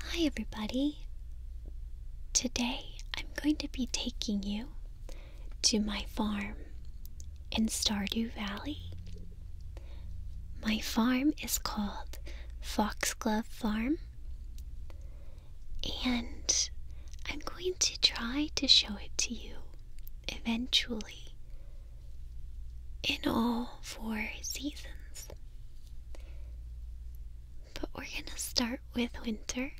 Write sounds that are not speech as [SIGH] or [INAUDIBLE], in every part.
Hi, everybody. Today I'm going to be taking you to my farm in Stardew Valley. My farm is called Foxglove Farm, and I'm going to try to show it to you eventually in all four seasons. But we're going to start with winter.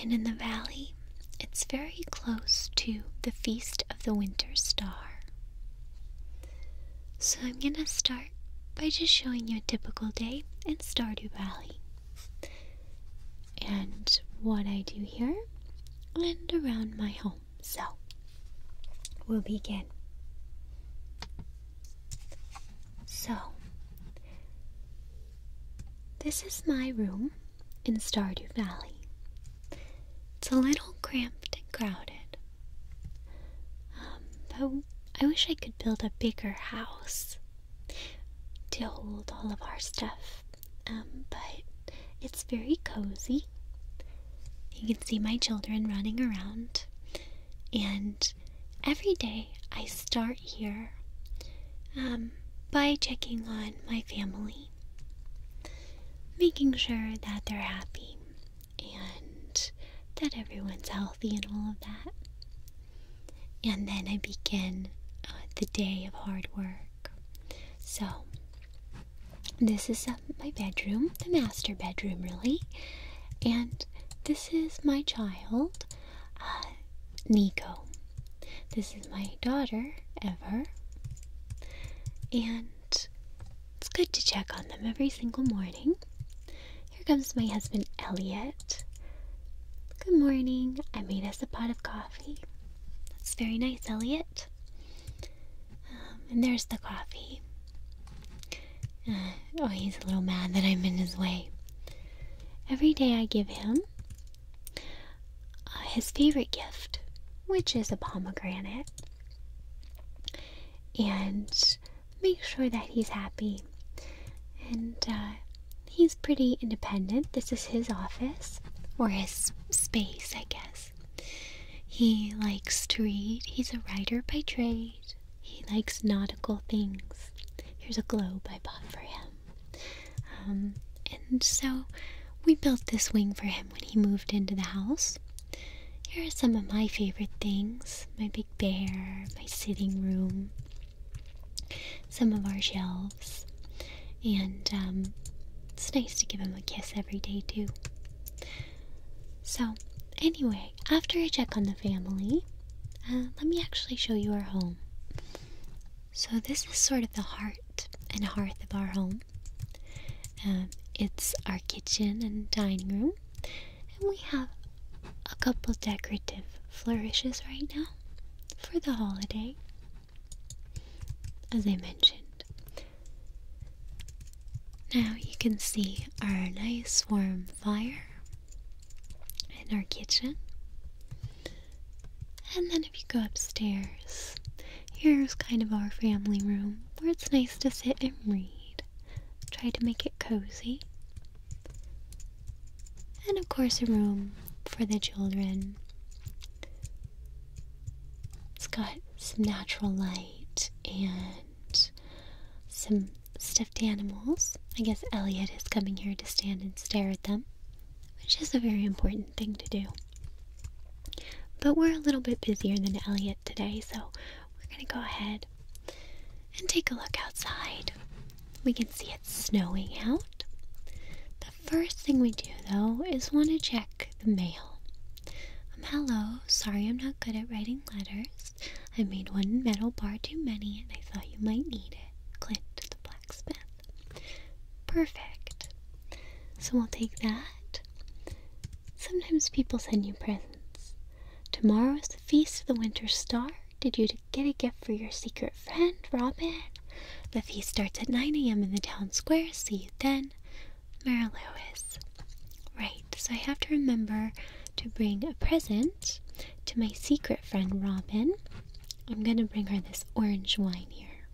And in the valley, it's very close to the Feast of the Winter Star. So I'm going to start by just showing you a typical day in Stardew Valley. And what I do here and around my home. So, we'll begin. So, this is my room in Stardew Valley. It's a little cramped and crowded. Um, but I wish I could build a bigger house to hold all of our stuff. Um, but it's very cozy you can see my children running around. And every day I start here um, by checking on my family, making sure that they're happy and that everyone's healthy and all of that. And then I begin uh, the day of hard work. So this is um, my bedroom, the master bedroom, really. And this is my child, uh, Nico. This is my daughter, Ever. And it's good to check on them every single morning. Here comes my husband, Elliot. Good morning. I made us a pot of coffee. That's very nice, Elliot. Um, and there's the coffee. Uh, oh, he's a little mad that I'm in his way. Every day I give him uh, his favorite gift, which is a pomegranate, and make sure that he's happy. And uh, he's pretty independent. This is his office, or his space, I guess. He likes to read. He's a writer by trade. He likes nautical things. Here's a globe I bought for him. Um, and so we built this wing for him when he moved into the house. Here are some of my favorite things my big bear, my sitting room, some of our shelves. And um, it's nice to give him a kiss every day, too. So, anyway, after I check on the family, uh, let me actually show you our home. So, this is sort of the heart and hearth of our home. Um, it's our kitchen and dining room, and we have a couple decorative flourishes right now for the holiday. As I mentioned, now you can see our nice warm fire in our kitchen. And then if you go upstairs, here's kind of our family room where it's nice to sit and read. Try to make it cozy. And of course, a room for the children. It's got some natural light and some stuffed animals. I guess Elliot is coming here to stand and stare at them, which is a very important thing to do. But we're a little bit busier than Elliot today, so we're going to go ahead and take a look outside. We can see it's snowing out. The first thing we do, though, is want to check the mail. Um, hello, sorry I'm not good at writing letters. I made one metal bar too many and I thought you might need it. Clint, the blacksmith. Perfect. So we'll take that. Sometimes people send you presents. Tomorrow is the feast of the winter star. Did you get a gift for your secret friend, Robin? The feast starts at 9 a.m. in the town square. See you then. Mara Lewis. Right, so I have to remember to bring a present to my secret friend Robin. I'm gonna bring her this orange wine here.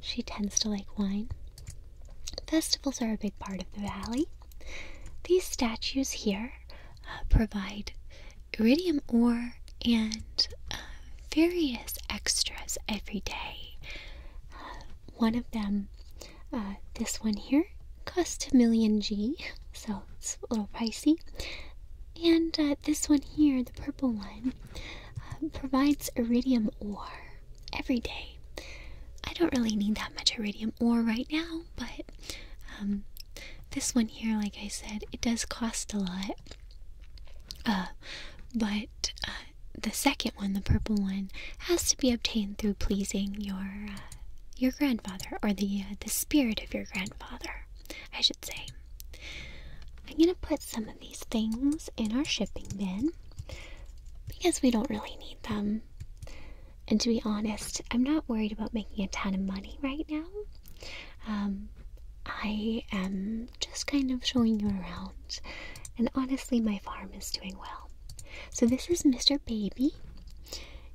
She tends to like wine. Festivals are a big part of the valley. These statues here uh, provide iridium ore and uh, various extras every day. Uh, one of them uh, this one here cost a million G, [LAUGHS] so it's a little pricey. And uh, this one here, the purple one, uh, provides iridium ore every day. I don't really need that much iridium ore right now, but um, this one here, like I said, it does cost a lot. but the second one, the purple one, has to be obtained through pleasing your uh, your grandfather or the uh, the spirit of your grandfather, I should say. I'm gonna put some of these things in our shipping bin because we don't really need them. And to be honest, I'm not worried about making a ton of money right now. Um, I am just kind of showing you around, and honestly, my farm is doing well. So this is Mr. Baby.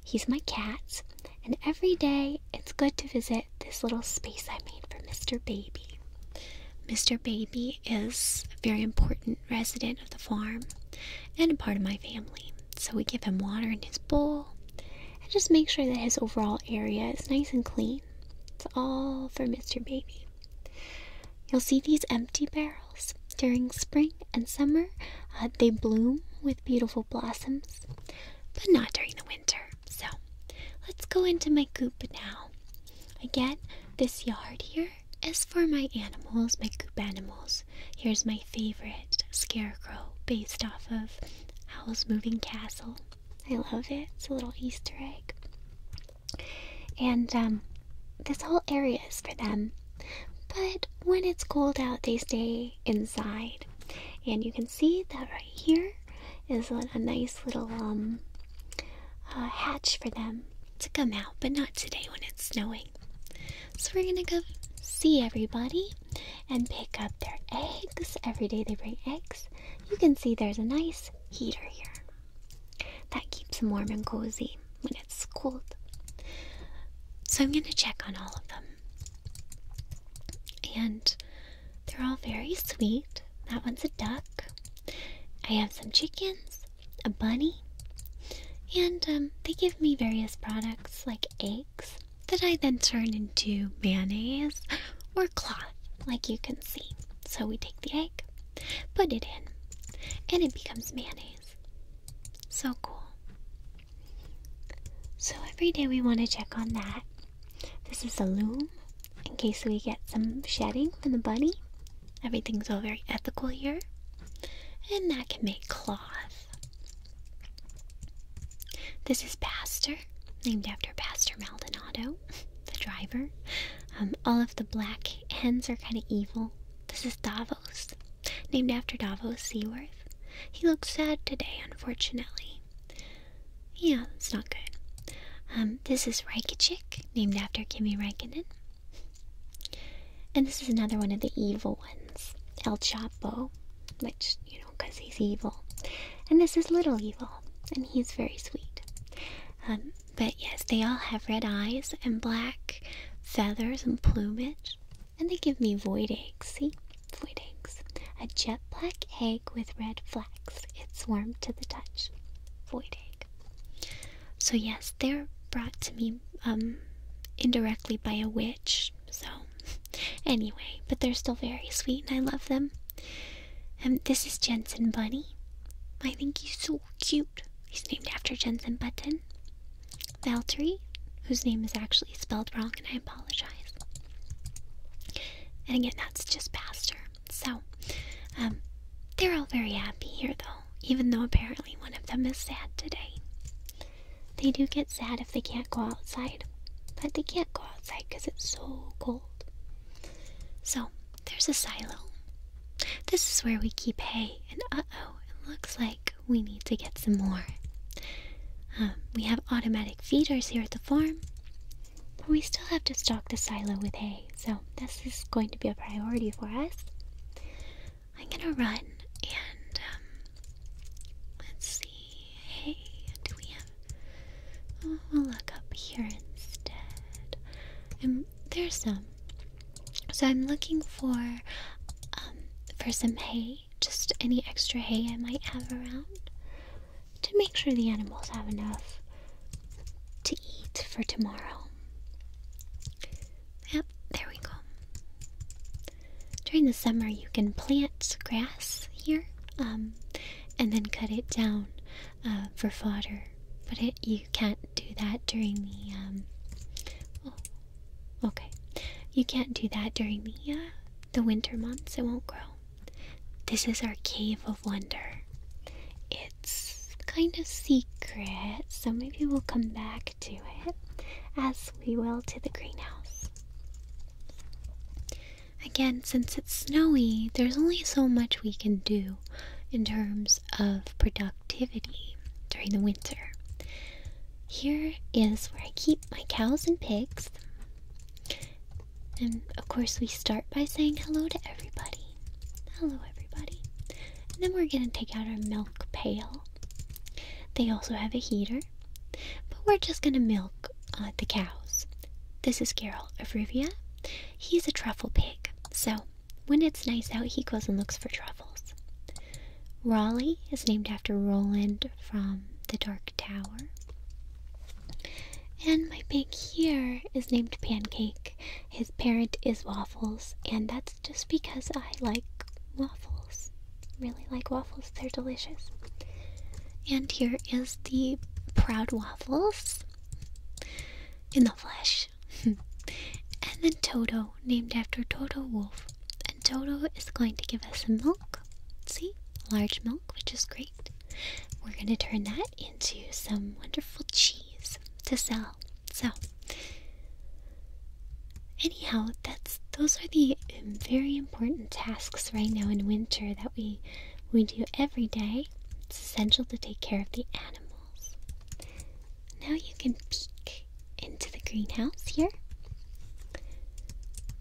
He's my cat, and every day it's good to visit this little space I made for Mr. Baby. Mr. Baby is a very important resident of the farm and a part of my family. So we give him water in his bowl and just make sure that his overall area is nice and clean. It's all for Mr. Baby. You'll see these empty barrels. During spring and summer, uh, they bloom with beautiful blossoms, but not during the winter. So let's go into my coop now. Again, this yard here is for my animals, my coop animals. Here's my favorite scarecrow based off of Howl's Moving Castle. I love it. It's a little Easter egg. And um, this whole area is for them. But when it's cold out, they stay inside. And you can see that right here is a, nice little um uh, hatch for them to come out, but not today when it's snowing. So we're gonna go see everybody and pick up their eggs. Every day they bring eggs. You can see there's a nice heater here that keeps them warm and cozy it's cold. So I'm going to check on all of them. And they're all very sweet. That one's a duck. I have some chickens, a bunny, and um, they give me various products like eggs that I then turn into mayonnaise or cloth, like you can see. So we take the egg, put it in, and it becomes mayonnaise. So cool. So every day we want to check on that. This is a loom in case we get some shedding from the bunny. Everything's all very ethical here. And that can make cloth. This is Pastor, named after Pastor Maldonado, [LAUGHS] the driver. Um, all of the black hens are kind of evil. This is Davos, named after Davos Seaworth. He looks sad today, unfortunately. Yeah, that's not good. Um, this is Raikachik, named after Kimi Raikkonen. And this is another one of the evil ones, El Chapo, which, you know, because he's evil. And this is Little Evil, and he's very sweet. Um, but yes, they all have red eyes and black feathers and plumage, and they give me void eggs. See? Void eggs. A jet black egg with red flecks. It's warm to the touch. Void egg. So, yes, they're brought to me um, indirectly by a witch. So, [LAUGHS] anyway, but they're still very sweet and I love them. And um, this is Jensen Bunny. I think he's so cute. He's named after Jensen Button. Valtteri, whose name is actually spelled wrong, and I apologize. And again, that's just Pastor. So, um, they're all very happy here, though, even though apparently one of them is sad today. They do get sad if they can't go outside, but they can't go outside because it's so cold. So, there's a silo. This is where we keep hay, and uh oh, it looks like we need to get some more. Um, we have automatic feeders here at the farm, but we still have to stock the silo with hay, so this is going to be a priority for us. I'm gonna run and um, let's see. Hey, do we have? Oh, we'll look up here instead there's some. So I'm looking for um, for some hay, just any extra hay I might have around to make sure the animals have enough to eat for tomorrow. Yep, there we go. During the summer you can plant grass here um, and then cut it down uh, for fodder. But you can't do that during the um, oh, Okay, you can't do that during the uh, the winter months. It won't grow. This is our cave of wonder. It's kind of secret, so maybe we'll come back to it as we will to the greenhouse. Again, since it's snowy, there's only so much we can do in terms of production Activity during the winter. Here is where I keep my cows and pigs. And of course, we start by saying hello to everybody. Hello, everybody. And then we're going to take out our milk pail. They also have a heater, but we're just going to milk uh, the cows. This is Geralt of Rivia. He's a truffle pig, so when it's nice out, he goes and looks for truffles. Raleigh is named after Roland from The Dark Tower. And my pig here is named Pancake. His parent is Waffles, and that's just because I like waffles. Really like waffles, they're delicious. And here is the Proud Waffles in the flesh. [LAUGHS] and then Toto, named after Toto Wolf. And Toto is going to give us some milk. See? Large milk, which is great. We're going to turn that into some wonderful cheese to sell. So, anyhow, that's those are the um, very important tasks right now in winter that we we do every day. It's essential to take care of the animals. Now you can peek into the greenhouse here.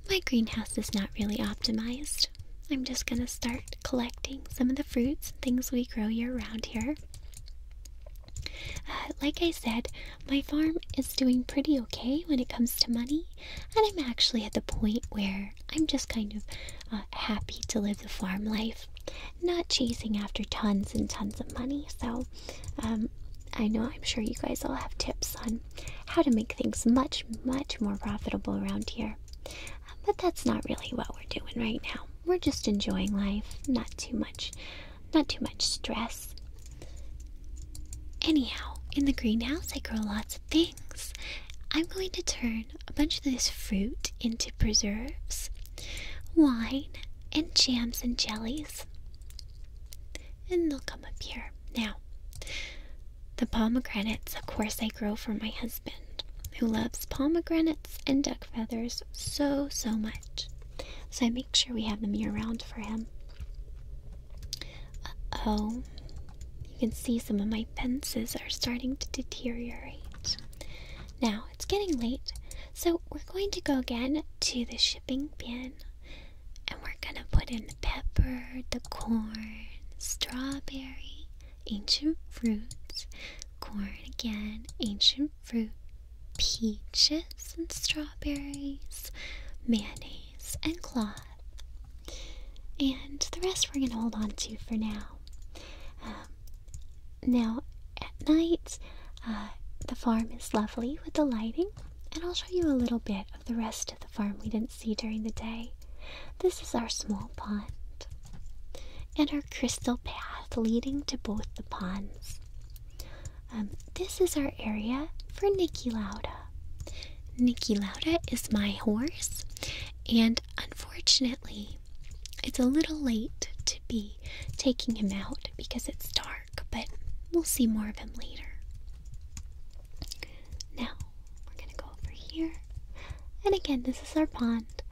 My greenhouse is not really optimized. I'm just gonna start collecting some of the fruits and things we grow year round here. Uh, like I said, my farm is doing pretty okay when it comes to money, and I'm actually at the point where I'm just kind of uh, happy to live the farm life, not chasing after tons and tons of money. So um, I know I'm sure you guys all have tips on how to make things much, much more profitable around here. Um, but that's not really what we're doing right now. We're just enjoying life, not too much, not too much stress. Anyhow, in the greenhouse, I grow lots of things. I'm going to turn a bunch of this fruit into preserves, wine, and jams and jellies. And they'll come up here. Now, the pomegranates, of course, I grow for my husband, who loves pomegranates and duck feathers so, so much. So I make sure we have them year round for him. oh. You can see some of my fences are starting to deteriorate. Now, it's getting late, so we're going to go again to the shipping bin and we're gonna put in the pepper, the corn, strawberry, ancient fruits, corn again, ancient fruit, peaches and strawberries, mayonnaise and cloth. And the rest we're gonna hold on to for now. Um, now, at night, uh, the farm is lovely with the lighting, and I'll show you a little bit of the rest of the farm we didn't see during the day. This is our small pond and our crystal path leading to both the ponds. Um, this is our area for Nikki Lauda. Nikki Lauda is my horse, and unfortunately, it's a little late to be taking him out because it's dark but we'll see more of him later. Now, we're gonna go over here. And again, this is our pond.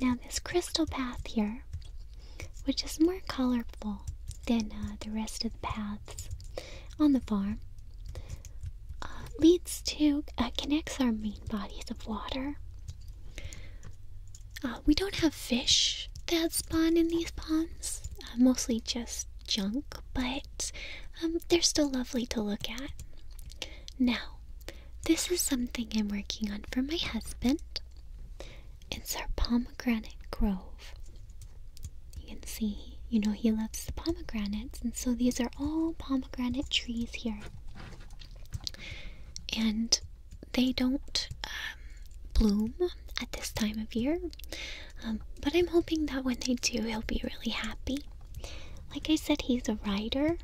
Now, this crystal path here, which is more colorful than uh, the rest of the paths on the farm, uh, leads to, uh, connects our main bodies of water. Uh, we don't have fish that spawn in these ponds, uh, mostly just junk, but um, they're still lovely to look at. Now, this is something I'm working on for my husband. It's our pomegranate grove. You can see, you know, he loves the pomegranates, and so these are all pomegranate trees here. And they don't um, bloom at this time of year, um, but I'm hoping that when they do, he'll be really happy. Like I said, he's a writer,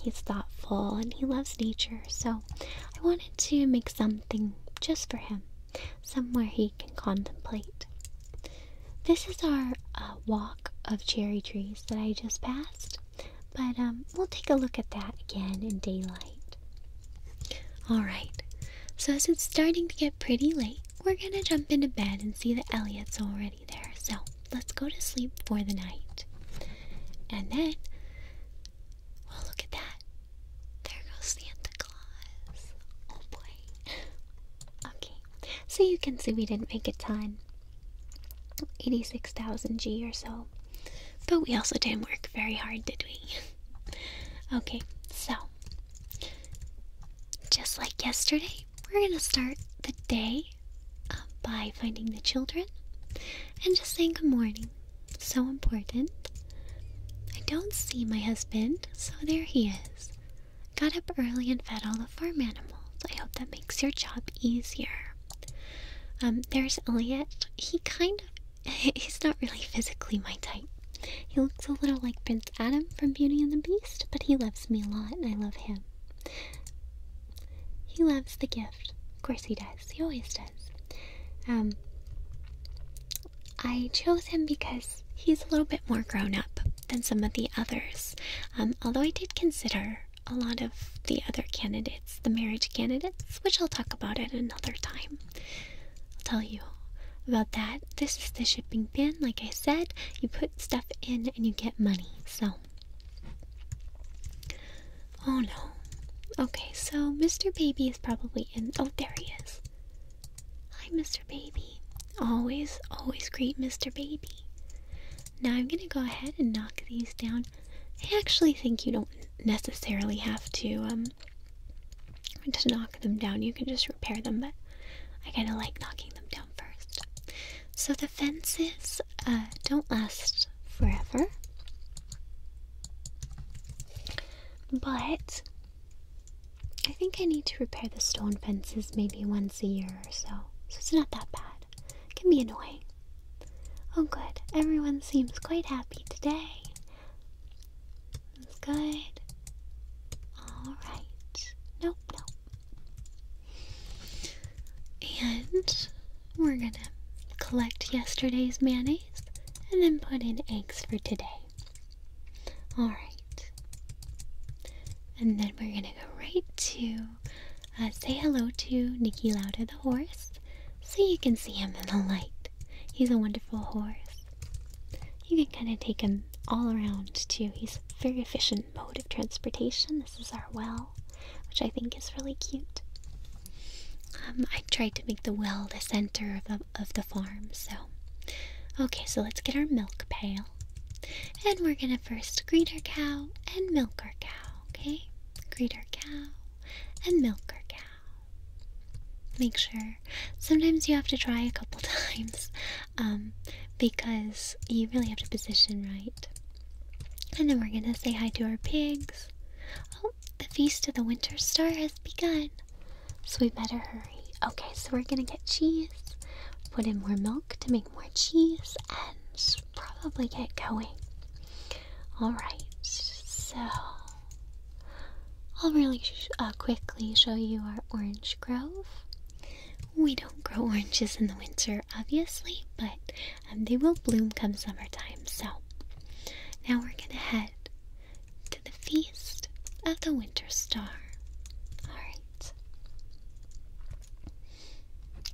he's thoughtful, and he loves nature, so I wanted to make something just for him, somewhere he can contemplate. This is our uh, walk of cherry trees that I just passed, but um, we'll take a look at that again in daylight. Alright, so as it's starting to get pretty late, we're gonna jump into bed and see that Elliot's already there. So let's go to sleep for the night. And then, well, look at that. There goes Santa Claus. Oh boy. [LAUGHS] okay, so you can see we didn't make a ton 86,000 G or so. But we also didn't work very hard, did we? [LAUGHS] okay, so just like yesterday, we're gonna start the day um, by finding the children and just saying good morning. So important. I don't see my husband, so there he is. Got up early and fed all the farm animals. I hope that makes your job easier. Um, there's Elliot. He kind of He's not really physically my type. He looks a little like Prince Adam from Beauty and the Beast, but he loves me a lot and I love him. He loves the gift. Of course he does. He always does. Um, I chose him because he's a little bit more grown up than some of the others. Um, although I did consider a lot of the other candidates, the marriage candidates, which I'll talk about at another time. I'll tell you about that. This is the shipping bin. Like I said, you put stuff in and you get money. So, oh no. Okay, so Mr. Baby is probably in. Oh, there he is. Hi, Mr. Baby. Always, always greet Mr. Baby. Now I'm gonna go ahead and knock these down. I actually think you don't necessarily have to um, to knock them down, you can just repair them, but I kind of like knocking them down first. So the fences uh, don't last forever, but I think I need to repair the stone fences maybe once a year or so, so it's not that bad. can be annoying. Oh, good. Everyone seems quite happy today. That's good. Alright. Nope, nope. And we're gonna collect yesterday's mayonnaise and then put in eggs for today. Alright. And then we're gonna go right to uh, say hello to Nikki Lauda the horse so you can see him in the light. He's a wonderful horse. You can kind of take him all around too. He's a very efficient mode of transportation. This is our well, which I think is really cute. Um, I tried to make the well the center of of the farm, so. Okay, so let's get our milk pail. And we're gonna first greet our cow and milk our cow, okay? Greet our cow and milk our cow make sure. Sometimes you have to try a couple [LAUGHS] times um, because you really have to position right. And then we're gonna say hi to our pigs. Oh, the feast of the winter star has begun, so we better hurry. Okay, so we're gonna get cheese, put in more milk to make more cheese, and probably get going. Alright, so I'll really uh, quickly show you our orange grove. We don't grow oranges in the winter, obviously, but um, they will bloom come summertime. So now we're going to head to the feast of the winter star. Alright.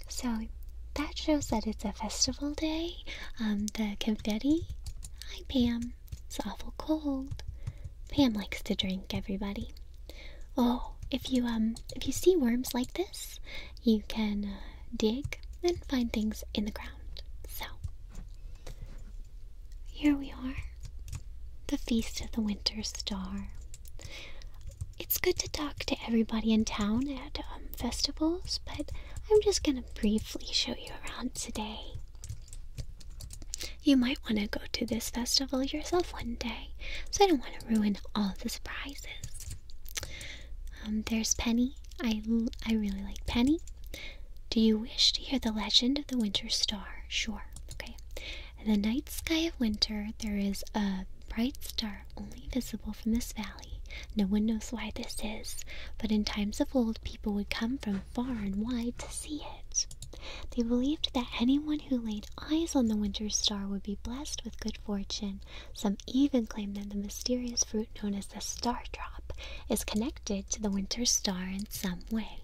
So that shows that it's a festival day. Um, the confetti. Hi, Pam. It's awful cold. Pam likes to drink, everybody. Oh, if you um if you see worms like this, you can uh, dig and find things in the ground. So here we are. The feast of the winter star. It's good to talk to everybody in town at um, festivals, but I'm just gonna briefly show you around today. You might want to go to this festival yourself one day, so I don't want to ruin all the surprises. Um, there's Penny. I, I really like Penny. Do you wish to hear the legend of the winter star? Sure. Okay. In the night sky of winter, there is a bright star only visible from this valley. No one knows why this is, but in times of old, people would come from far and wide to see it. They believed that anyone who laid eyes on the winter star would be blessed with good fortune. Some even claimed that the mysterious fruit known as the star drop is connected to the winter star in some way.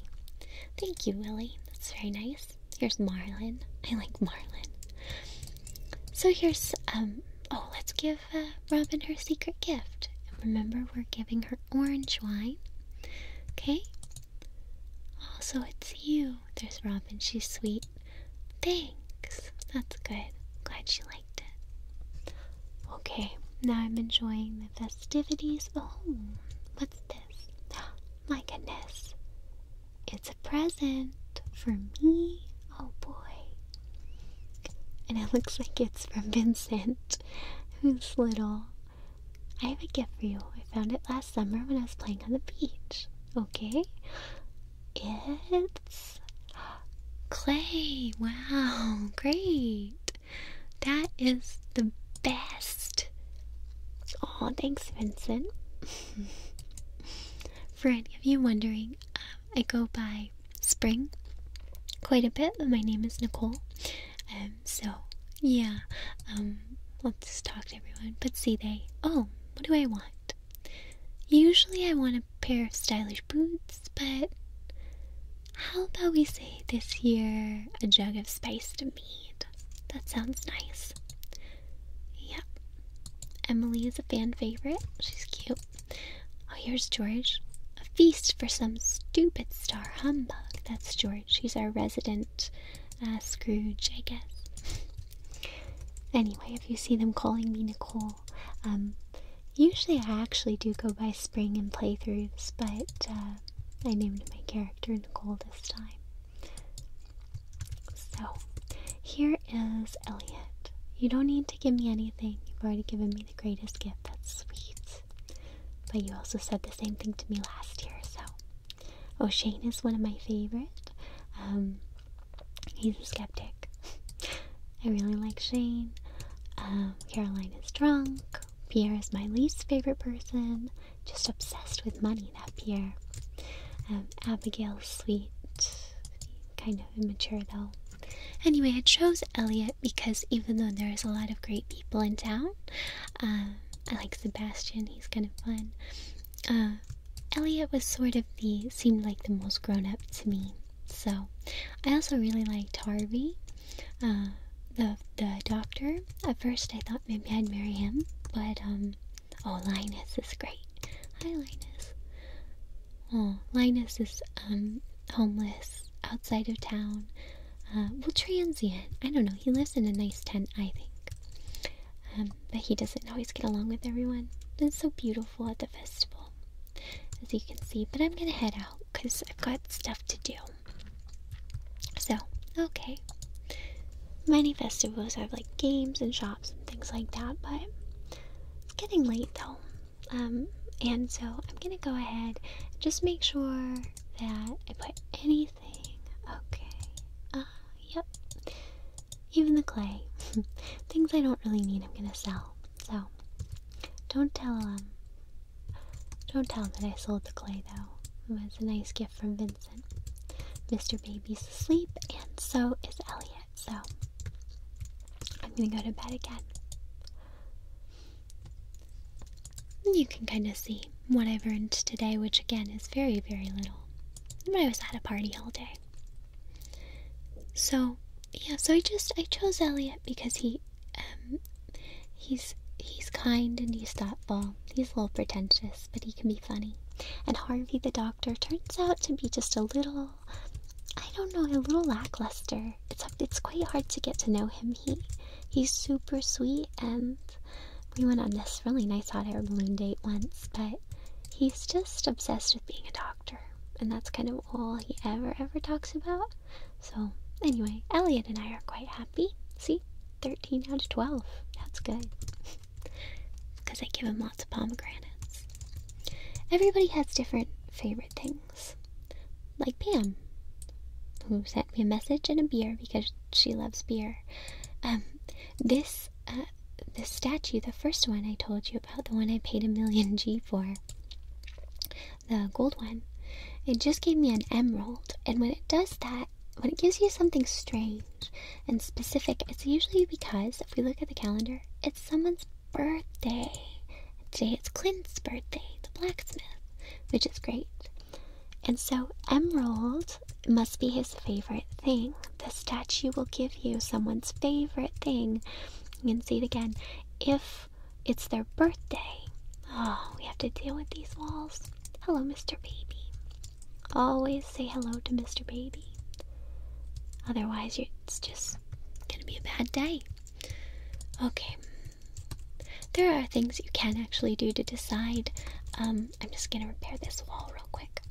Thank you, Willie. That's very nice. Here's Marlin. I like Marlin. So here's um oh, let's give uh, Robin her secret gift. And remember, we're giving her orange wine. Okay? Also, it's you. There's Robin. She's sweet. Thanks. That's good. Glad she liked it. Okay, now I'm enjoying the festivities. Oh, what's this? [GASPS] My goodness. It's a present for me. Oh boy. And it looks like it's from Vincent, who's little. I have a gift for you. I found it last summer when I was playing on the beach. Okay? It's clay. Wow, great. That is the best. Oh, thanks, Vincent. [LAUGHS] for any of you wondering, um, I go by spring quite a bit. My name is Nicole. and um, so, yeah, um, I'll just talk to everyone. But see, they, oh, what do I want? Usually I want a pair of stylish boots, but how about we say this year a jug of spiced mead? That sounds nice. Yep. Emily is a fan favorite. She's cute. Oh, here's George. A feast for some stupid star humbug. That's George. He's our resident uh, Scrooge, I guess. Anyway, if you see them calling me Nicole, um, usually I actually do go by Spring in playthroughs, but uh, I named my character Nicole this time. So, here is Elliot. You don't need to give me anything. You've already given me the greatest gift. That's sweet. But you also said the same thing to me last year, so. O'Shane is one of my favorite. Um, he's a skeptic. [LAUGHS] I really like Shane. Um, Caroline is drunk. Pierre is my least favorite person. Just obsessed with money, that Pierre. Um, Abigail's sweet. Kind of immature, though. Anyway, I chose Elliot because even though there is a lot of great people in town, um, I like Sebastian, he's kind of fun. Uh, Elliot was sort of the, seemed like the most grown up to me. So, I also really liked Harvey, uh, the, the doctor. At first, I thought maybe I'd marry him, but, um, oh, Linus is great. Hi, Linus. Oh, Linus is, um, homeless outside of town. Uh, well, transient. I don't know. He lives in a nice tent, I think. Um, but he doesn't always get along with everyone. It's so beautiful at the festival, as you can see. But I'm gonna head out because I've got stuff to do. So, okay. Many festivals have like games and shops and things like that, but it's getting late though. Um, and so I'm gonna go ahead and just make sure that I put anything. Okay. Uh, yep. Even the clay. [LAUGHS] Things I don't really need, I'm gonna sell. So, don't tell them. Um, don't tell that I sold the clay though. It was a nice gift from Vincent. Mr. Baby's asleep, and so is Elliot. So, I'm gonna go to bed again. You can kind of see what I've earned today, which again is very, very little. I was at a party all day. So, yeah, so I just, I chose Elliot because he, um, he's, he's kind and he's thoughtful. He's a little pretentious, but he can be funny. And Harvey the doctor turns out to be just a little, I don't know, a little lackluster. It's, it's quite hard to get to know him he he's super sweet and we went on this really nice hot air balloon date once, but he's just obsessed with being a doctor and that's kind of all he ever ever talks about. So anyway, Elliot and I are quite happy. See? 13 out of 12. That's good. Because [LAUGHS] I give him lots of pomegranates. Everybody has different favorite things like Pam, who sent me a message and a beer because she loves beer. Um, this, uh, this statue, the first one I told you about, the one I paid a million G for, the gold one, it just gave me an emerald. And when it does that, when it gives you something strange and specific, it's usually because, if we look at the calendar, it's someone's birthday. Today it's Clint's birthday, the blacksmith, which is great. And so, emerald must be his favorite thing. The statue will give you someone's favorite thing. You can see it again. If it's their birthday, oh, we have to deal with these walls. Hello, Mr. Baby. Always say hello to Mr. Baby. Otherwise, it's just gonna be a bad day. Okay, there are things you can actually do to decide. Um, I'm just gonna repair this wall real quick.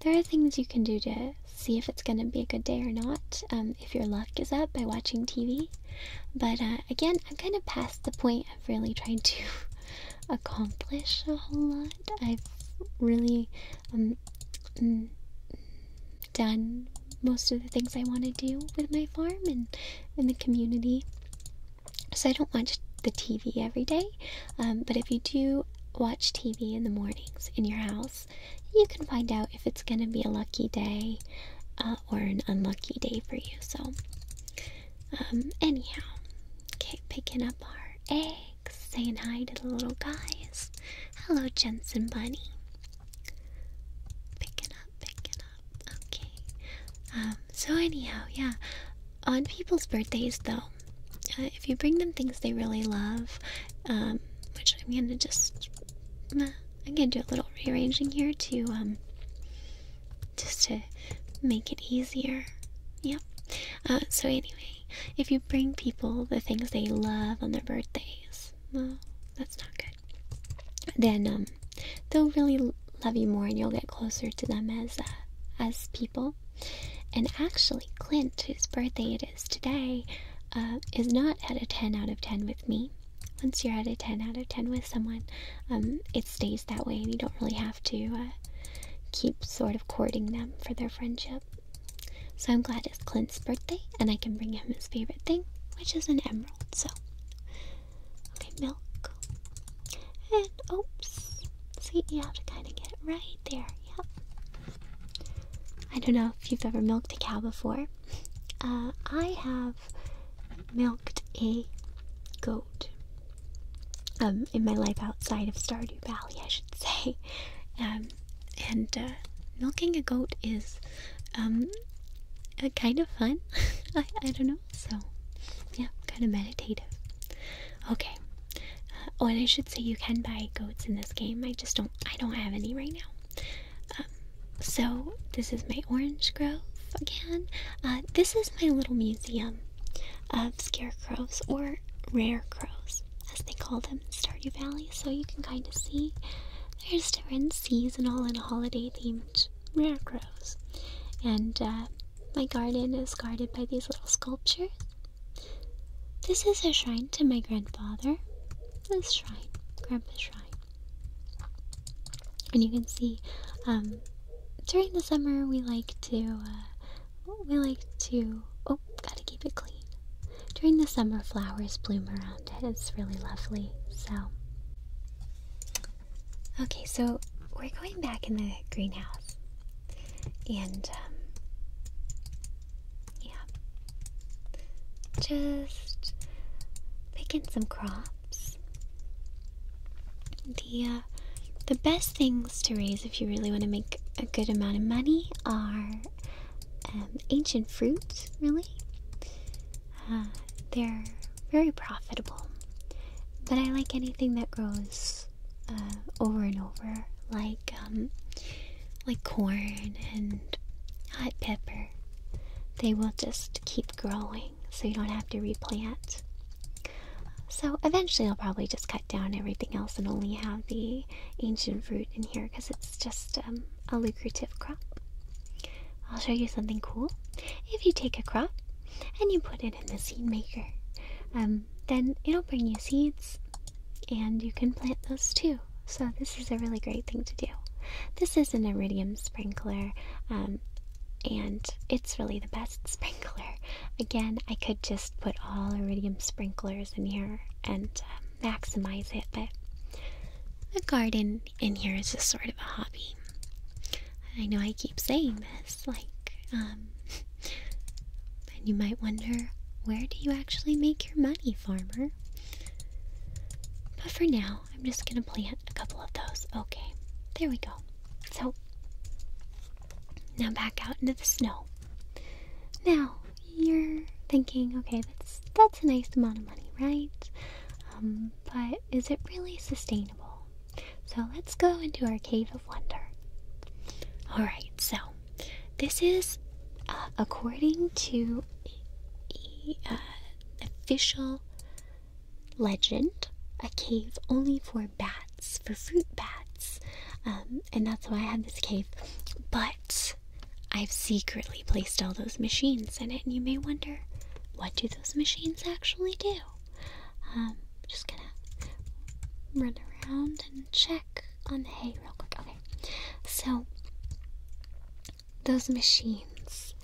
There are things you can do to see if it's gonna be a good day or not. Um, if your luck is up by watching TV. But uh, again, I'm kind of past the point of really trying to [LAUGHS] accomplish a whole lot. I've really um, mm, done most of the things I want to do with my farm and in the community. So I don't watch the TV every day, um, but if you do watch TV in the mornings in your house, you can find out if it's going to be a lucky day uh, or an unlucky day for you. So, um, anyhow, okay, picking up our eggs, saying hi to the little guys. Hello, Jensen Bunny. Picking up, picking Okay. Um, so anyhow, yeah. On people's birthdays, though, uh, if you bring them things they really love, um, which I'm gonna just, I'm gonna do a little rearranging here to, um, just to make it easier. Yep. Uh, so anyway, if you bring people the things they love on their birthdays, that's not good then um, they'll really love you more and you'll get closer to them as uh, as people and actually clint whose birthday it is today uh, is not at a 10 out of 10 with me once you're at a 10 out of 10 with someone um, it stays that way and you don't really have to uh, keep sort of courting them for their friendship so i'm glad it's clint's birthday and i can bring him his favorite thing which is an emerald so Okay, milk. And oops. See, you have to kind of get it right there. Yep. I don't know if you've ever milked a cow before. Uh, I have milked a goat. Um, in my life outside of Stardew Valley, I should say. Um, and uh, milking a goat is um, uh, kind of fun. [LAUGHS] I, I don't know. So, yeah, kind of meditative. Okay. Uh, oh, and I should say you can buy goats in this game. I just don't. I don't have any right now. Um, so this is my orange grove again. Uh, this is my little museum of scarecrows or rare crows, as they call them in Stardew Valley. So you can kind of see there's different seasonal and holiday themed rare grows, And uh, my garden is guarded by these little sculptures. This is a shrine to my grandfather. This shrine, Grandpa's shrine. And you can see, um, during the summer we like to, uh, we like to, oh, gotta keep it clean. During the summer, flowers bloom around it. It's really lovely. So, Okay, so we're going back in the greenhouse. And, um, yeah. Just picking some crops. The, uh, the best things to raise if you really want to make a good amount of money are um, ancient fruits. really they're very profitable, but I like anything that grows uh, over and over, like um, like corn and hot pepper. They will just keep growing, so you don't have to replant. So eventually, I'll probably just cut down everything else and only have the ancient fruit in here because it's just um, a lucrative crop. I'll show you something cool. If you take a crop and you put it in the seed maker, um, then it'll bring you seeds and you can plant those too. So, this is a really great thing to do. This is an iridium sprinkler, um, and it's really the best [LAUGHS] sprinkler. Again, I could just put all iridium sprinklers in here and uh, maximize it, but the garden in here is just sort of a hobby. I know I keep saying this, like, um, [LAUGHS] and you might wonder where do you actually make your money, farmer? But for now, I'm just gonna plant a couple of those. Okay, there we go. So, now back out into the snow. Now, you're thinking, okay, that's that's a nice amount of money, right? Um, but is it really sustainable? So let's go into our cave of wonder. Alright, so this is uh, according to uh, official legend a cave only for bats, for fruit bats. Um, and that's why I have this cave. But I've secretly quietly placed all those machines in it, and you may wonder, what do those machines actually do? Um, just gonna run around and check on the hay real quick. Okay, so those machines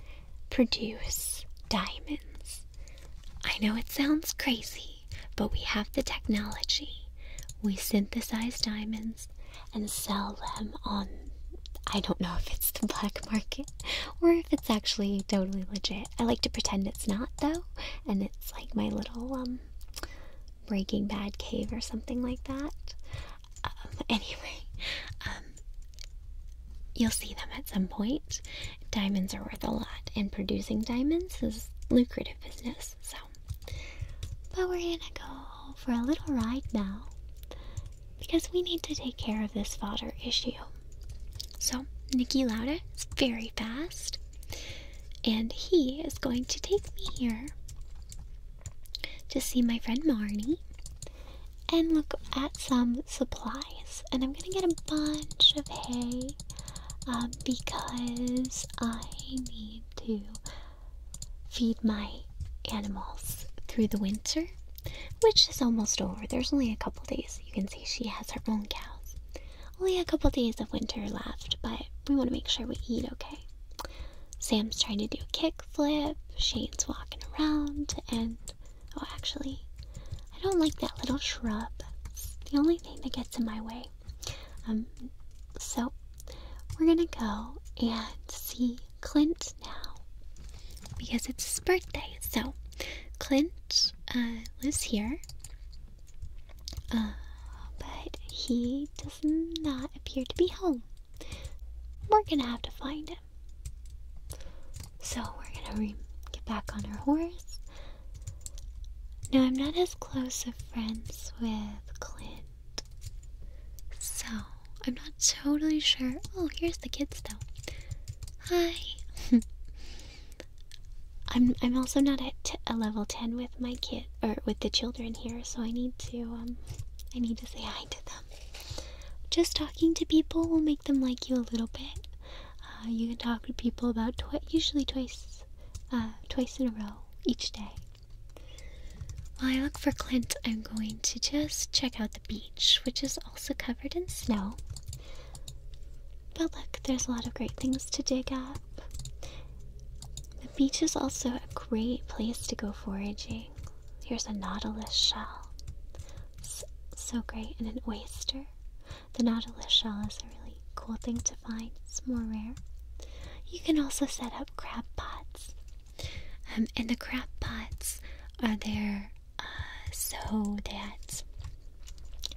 produce diamonds. I know it sounds crazy, but we have the technology. We synthesize diamonds and sell them on I don't know if it's the black market or if it's actually totally legit. I like to pretend it's not though, and it's like my little um, Breaking Bad cave or something like that. Um, [LAUGHS] anyway, um, you'll see them at some point. Diamonds are worth a lot, and producing diamonds is lucrative business. So, but we're gonna go for a little ride now because we need to take care of this fodder issue. So, Nikki Lauda is very fast, and he is going to take me here to see my friend Marnie and look at some supplies. And I'm gonna get a bunch of hay um, because I need to feed my animals through the winter which is almost over. There's only a couple days. You can see she has her own cows. Only a couple days of winter left, but we want to make sure we eat okay. Sam's trying to do a kick flip. Shane's walking around, and oh, actually, I don't like that little shrub. the only thing that gets in my way. Um, so we're gonna go and see Clint now because it's his birthday. So, Clint uh, lives here, uh, but he does not appear to be home. We're gonna have to find him. So, we're gonna get back on our horse. Now, I'm not as close of friends with Clint, so I'm not totally sure. Oh, here's the kids though. Hi. [LAUGHS] I'm I'm also not at a level ten with my kid or with the children here, so I need to um I need to say hi to them. Just talking to people will make them like you a little bit. Uh, you can talk to people about twi usually twice, uh, twice in a row each day. While I look for Clint, I'm going to just check out the beach, which is also covered in snow. But look, there's a lot of great things to dig up. The beach is also a great place to go foraging. Here's a nautilus shell. So, great, and an oyster. The nautilus shell is a really cool thing to find, it's more rare. You can also set up crab pots. Um, and the crab pots are there so that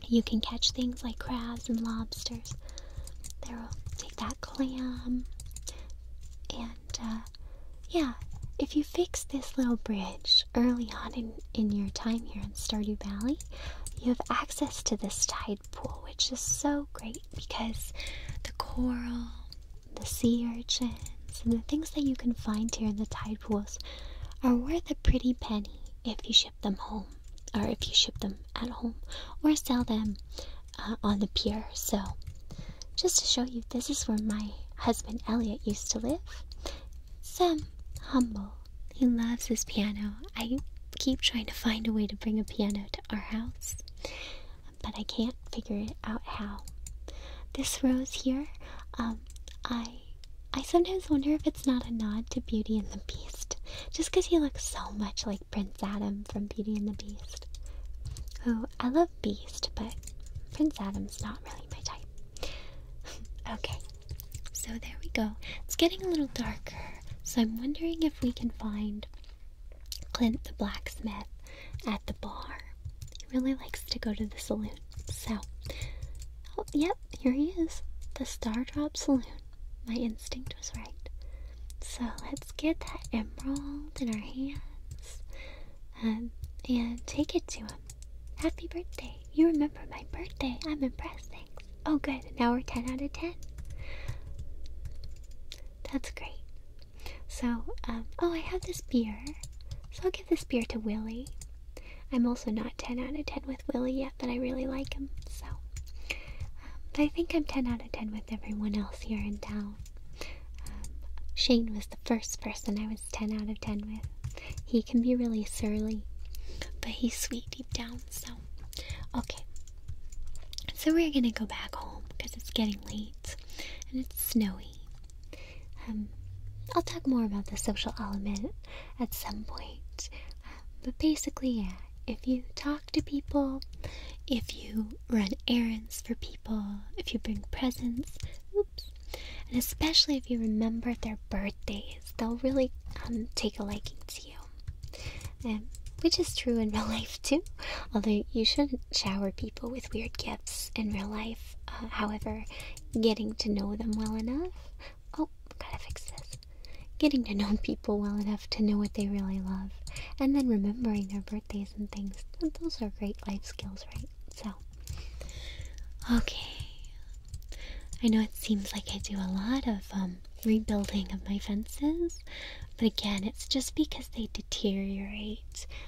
you can catch things like crabs and lobsters. They'll take that clam, and uh, yeah, if you fix this little bridge early on in, in your time here in Stardew Valley, you have access to this tide pool, which is so great because the coral the sea urchins, and the things that you can find here in the tide pools are worth a pretty penny if you ship them home, or if you ship them at home, or sell them uh, on the pier. So, just to show you, this is where my husband Elliot used to live. Some humble. He loves his piano. I keep trying to find a way to bring a piano to our house, but I can't figure it out how. This rose here, um, I I sometimes wonder if it's not a nod to Beauty and the Beast, just because he looks so much like Prince Adam from Beauty and the Beast. Oh, I love Beast, but Prince Adam's not really my type. [LAUGHS] okay, so there we go. It's getting a little darker, so I'm wondering if we can find Clint the blacksmith at the bar. He really likes to go to the saloon. So, oh, yep, here he is. The Star Drop Saloon. My instinct was right. So, let's get that emerald in our hands um, and take it to him. Happy birthday. You remember my birthday. I'm impressed. Thanks. Oh, good. Now we're 10 out of 10. That's great. So, um, oh, I have this beer. So I'll give this beer to Willie. I'm also not 10 out of 10 with Willie yet, but I really like him, so. Um, but I think I'm 10 out of 10 with everyone else here in town. Um, Shane was the first person I was 10 out of 10 with. He can be really surly, but he's sweet deep down, so. Okay. So we're gonna go back home because it's getting late and it's snowy um, I'll talk more about the social element at some point. but basically, if you talk to people, if you run errands for people, if you bring presents, oops, and especially if you remember their birthdays, they'll really um, take a liking to you. Um, which is true in [LAUGHS] real life too, although you shouldn't shower people with weird gifts in real life. Uh, however, getting to know them well enough. Oh, gotta fix this. Getting to know [LAUGHS] people well enough to know what they really love, and then remembering their birthdays and things. Those are great life skills, right? So, okay. I know it seems like I do a lot of um, rebuilding of my fences, but again, it's just because they deteriorate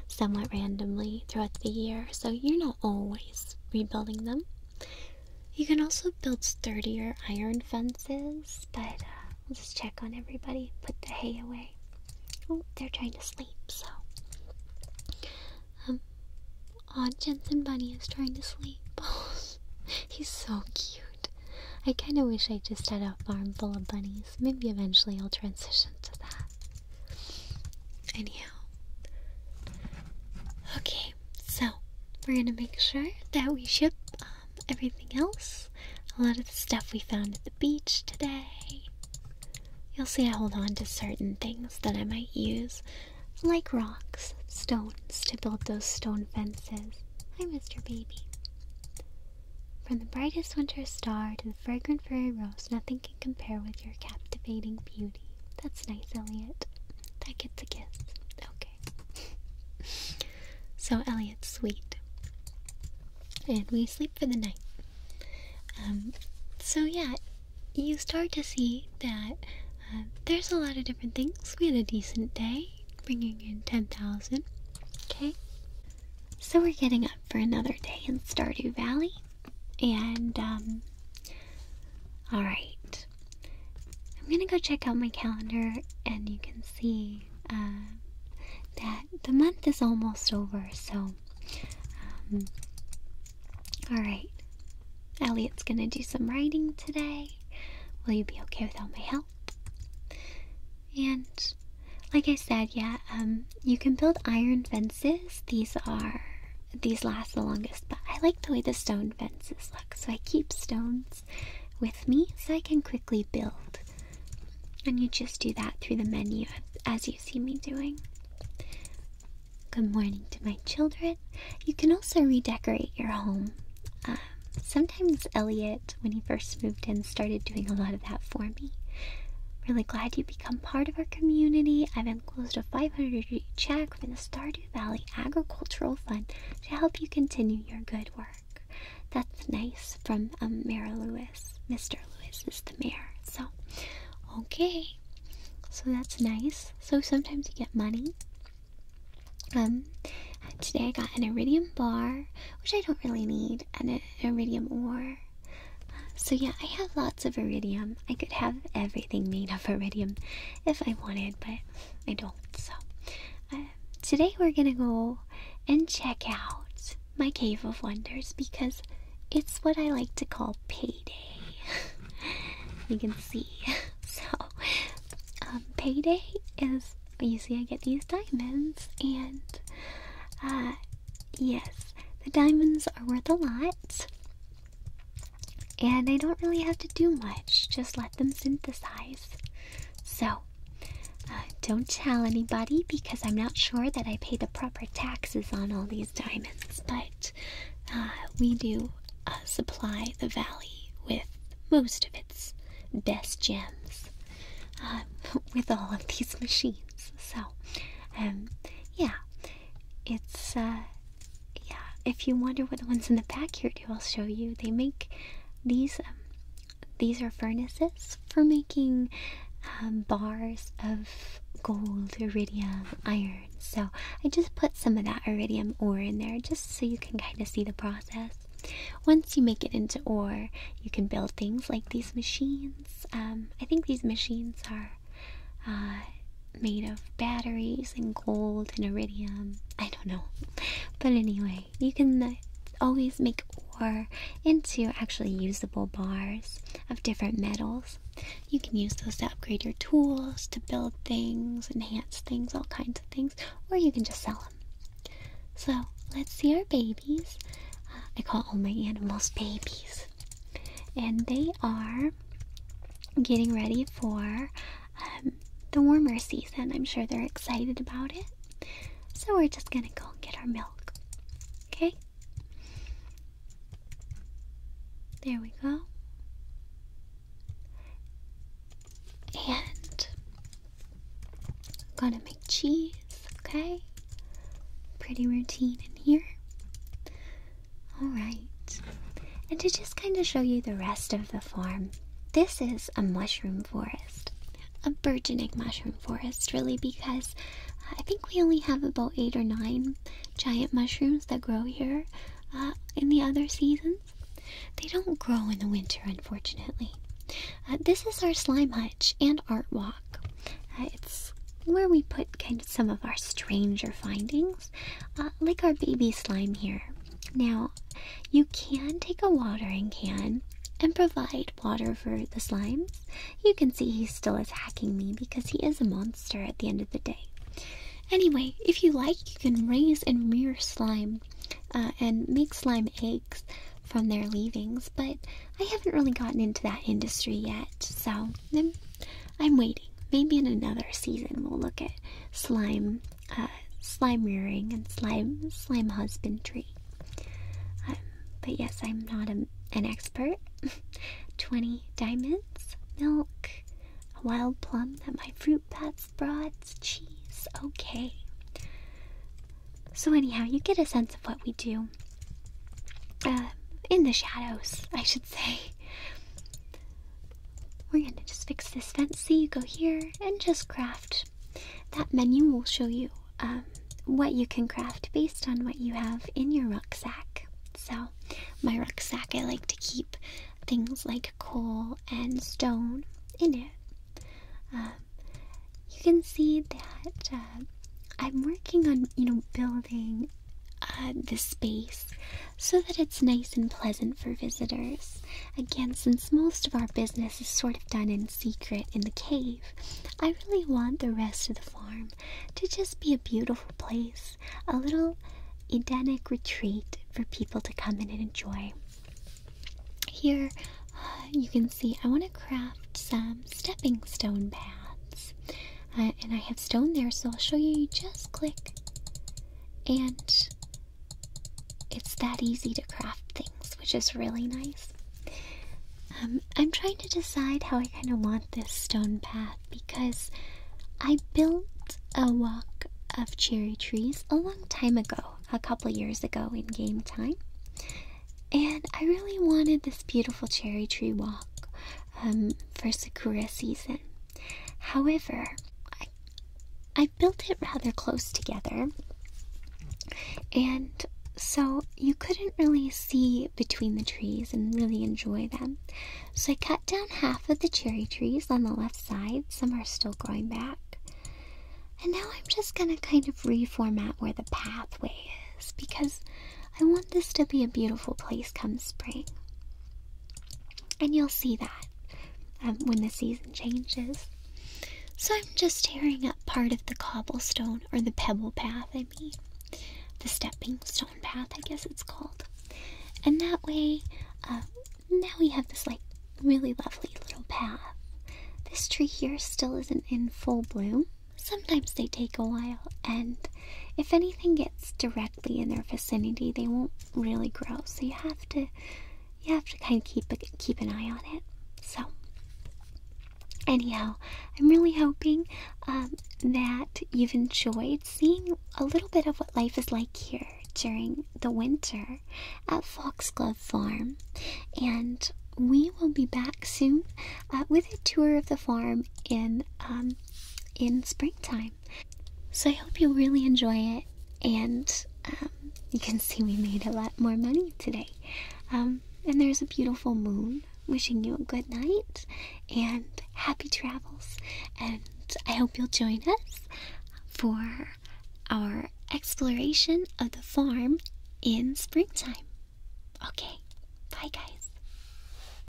somewhat randomly throughout the year, so you're not always rebuilding them. You can also build sturdier iron fences, but uh, we'll just check on everybody. Put the hay away. Oh, they're trying to sleep, so. Um, Aw, Jensen Bunny is trying to sleep. Oh, [LAUGHS] He's so cute. I kind of wish I just had a farm full of bunnies. Maybe eventually I'll transition to that. Anyhow. Okay, so we're gonna make sure that we ship um, everything else. A lot of the stuff we found at the beach today. You'll see I hold on to certain things that I might use, like rocks, stones, to build those stone fences. Hi, Mr. Baby. From the brightest winter star to the fragrant fairy rose, nothing compare with your captivating beauty. That's nice, Elliot. That gets a kiss. Okay. so Elliot's sweet. And we sleep for the night. Um, so yeah, you start to see that uh, there's a lot of different things. We had a decent day, bringing in 10,000. Okay. So we're getting up for another day in Stardew Valley. And, um, alright. I'm gonna go check out my calendar, and you can see uh, that the month is almost over, so, um, alright. Elliot's gonna do some writing today. Will you be okay without my help? And, like I said, yeah, um, you can build iron fences. These are these last the longest, but I like the way the stone fences look, so I keep stones with me so I can quickly build. And you just do that through the menu as you see me doing. Good morning to my children. You can also redecorate your home. Um, sometimes Elliot, when he first moved in, started doing a lot of that for me. Really glad you become part of our community. I've Close to a 500 check from the Stardew Valley Agricultural Fund to help you continue your good work. That's nice from um, Mayor Lewis. Mr. Lewis is the mayor. So, okay. So that's nice. So sometimes you get money. Um, today I got an iridium bar, which I don't really need, and an iridium ore so yeah, I have lots of iridium. I could have everything made of iridium if I wanted, but I don't. So um, today we're gonna go and check out my cave of wonders because it's what I like to call payday. [LAUGHS] you can see. [LAUGHS] So um, payday is you see I get these diamonds and uh yes the diamonds are worth a lot and I don't really have to do much, just let them synthesize. So, uh, don't tell anybody because I'm not sure that I pay the proper taxes on all these diamonds, but uh, we do uh, supply the valley with most of its best gems [LAUGHS] with all of these machines. So, um, yeah. It's, uh, yeah, if you wonder what the ones in the back here do, I'll show you. They make these, um, these are furnaces for making um, bars of gold, iridium, iron. So I just put some of that iridium ore in there just so you can kind of see the process. Once you make it into ore, you can build things like these machines. Um, I think these machines are uh, made of batteries and gold and iridium. I don't know. But anyway, you can uh, always make ore into actually usable bars of different metals. You can use those to upgrade your tools, to build things, enhance things, all kinds of things, or you can just sell them. So let's see our babies. Uh, I call all my animals babies and they are getting ready for um, the warmer season. I'm sure they're excited about it. So we're just gonna go and get our milk. Okay? There we go. And gonna make cheese, okay? Pretty routine in here. Alright. And to just kind of show you the rest of the farm, this is a mushroom forest. A burgeoning mushroom forest, really, because uh, I think we only have about eight or nine giant mushrooms that grow here uh, in the other seasons. They don't grow in the winter, unfortunately. Uh, this is our slime hutch and art walk. Uh, it's where we put kind of some of our stranger findings, uh, like our baby slime here. Now, you can take a watering can and provide water for the slimes. You can see he's still attacking me because he is a monster at the end of the day. Anyway, if you like, you can raise and rear slime uh, and make slime eggs from their leavings, but I haven't really gotten into that industry yet, so mm, I'm waiting. Maybe in another season we'll look at slime, uh, slime rearing and slime slime husbandry. Um, but yes, I'm not an expert. [LAUGHS] Twenty diamonds, milk, a wild plum that my fruit bats brought, cheese. Okay. So anyhow, you get a sense of what we do. Uh, in the shadows, I should say. We're gonna just fix this fence. So You go here and just craft. That menu will show you um, what you can craft based on what you have in your rucksack. So, my rucksack, I like to keep things like coal and stone in it. Um, you can see that uh, I'm working on, you know, building uh, the space so that it's nice and pleasant for visitors. Again, since most of our business is sort of done in secret in the cave, I really want the rest of the farm to just be a beautiful place, a little Edenic retreat for people to come in and enjoy. Here uh, you can see I want to craft some stepping stone paths. Uh, and I have stone there, so I'll show you. You just click, and it's that easy to craft things, which is really nice. Um, I'm trying to decide how I kind of want this stone path because I built a walk of cherry trees a long time ago, a couple years ago in game time. And I really wanted this beautiful cherry tree walk um, for Sakura season. However, I, I built it rather close together, and so you couldn't really see between the trees and really enjoy them. So I cut down half of the cherry trees on the left side, some are still growing back. And now I'm just gonna kind of reformat where the pathway is because I want this to be a beautiful place come spring. And you'll see that um, when the season changes. So I'm just tearing up part of the cobblestone, or the pebble path, I mean. The stepping stone path, I guess it's called. And that way, um, now we have this like really lovely little path. This tree here still isn't in full bloom. Sometimes they take a while, and if anything gets directly in their vicinity, they won't really grow. So you have to, you have to kind of keep keep an eye on it. So, anyhow, I'm really hoping um, that you've enjoyed seeing a little bit of what life is like here during the winter at Foxglove Farm, and we will be back soon uh, with a tour of the farm in um in springtime. So I hope you really enjoy it, and um, you can see we made a lot more money today. Um, and there's a beautiful moon. Wishing you a good night and happy travels. And I hope you'll join us for our exploration of the farm in springtime. Okay, bye guys.